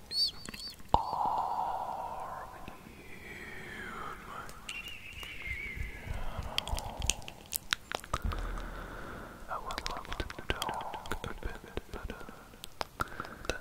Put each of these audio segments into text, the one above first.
guys are human. I would love to talk a bit better.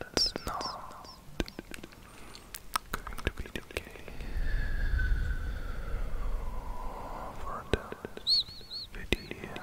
That's not going to be the case for this video.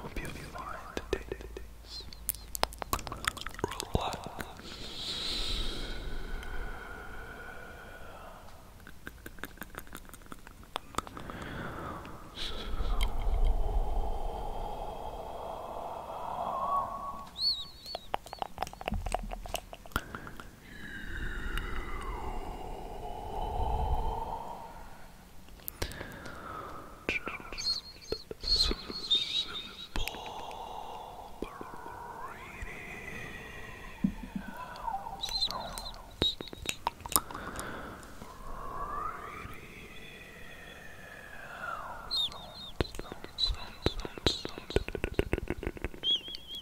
Hope you'll be fine today. Relax. Just some simple breathing sounds.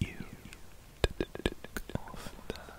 you off that. Is Good.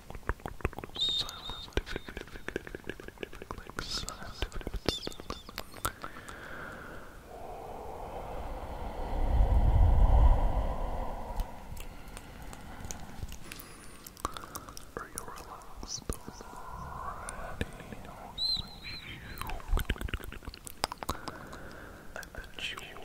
Are you relaxed already? I bet you are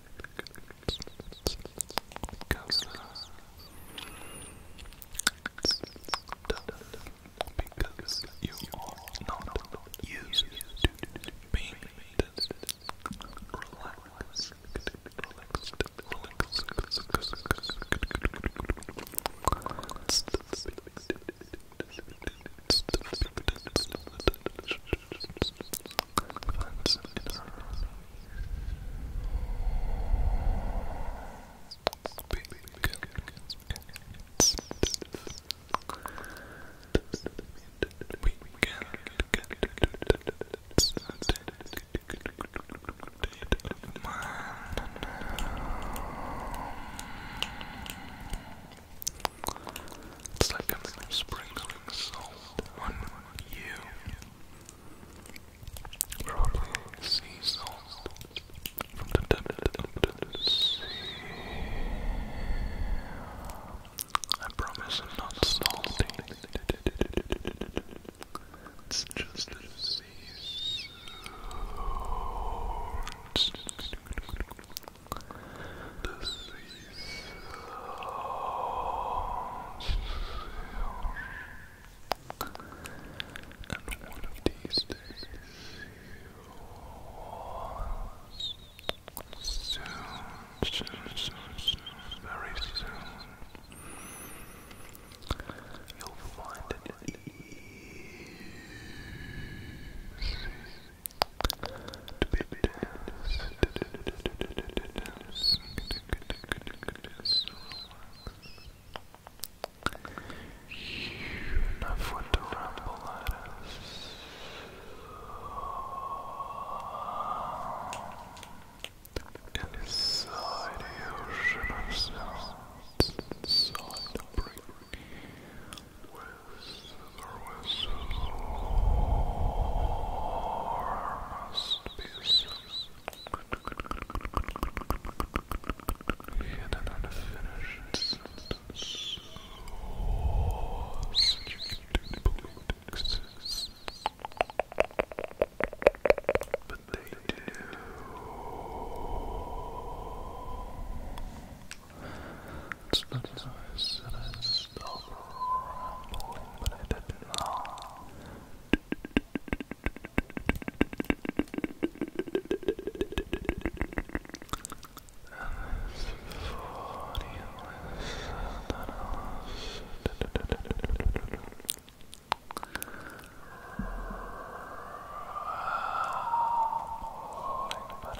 Because, uh, because you are not used to being this relaxed, relaxed, relaxed, relaxed, relaxed, relaxed, relaxed, that's it. Big goats. We can get Man. It's like I'm sprinkling salt on you. Probably sea salt I promise I'm not salty. It's just a disease. The seas and one of these days soon, very soon, you'll find it easy Enough with the ramble at us. Inside the ocean of sounds, inside the brain, there was enormous pieces hidden in a finished sentence. Oh, such But they do. It's not nice that I stop rambling, but I did not. And it's funny that I but I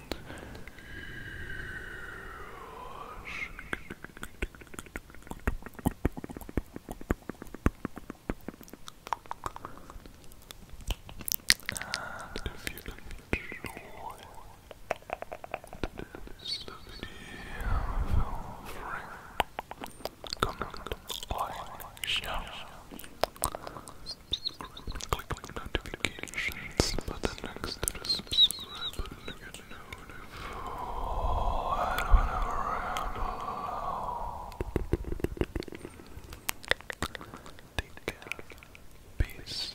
And if you enjoy this video, feel free. Comment, like, share, subscribe and click on the notifications button next to the subscribe button to get notified whenever I upload. Take care. Peace.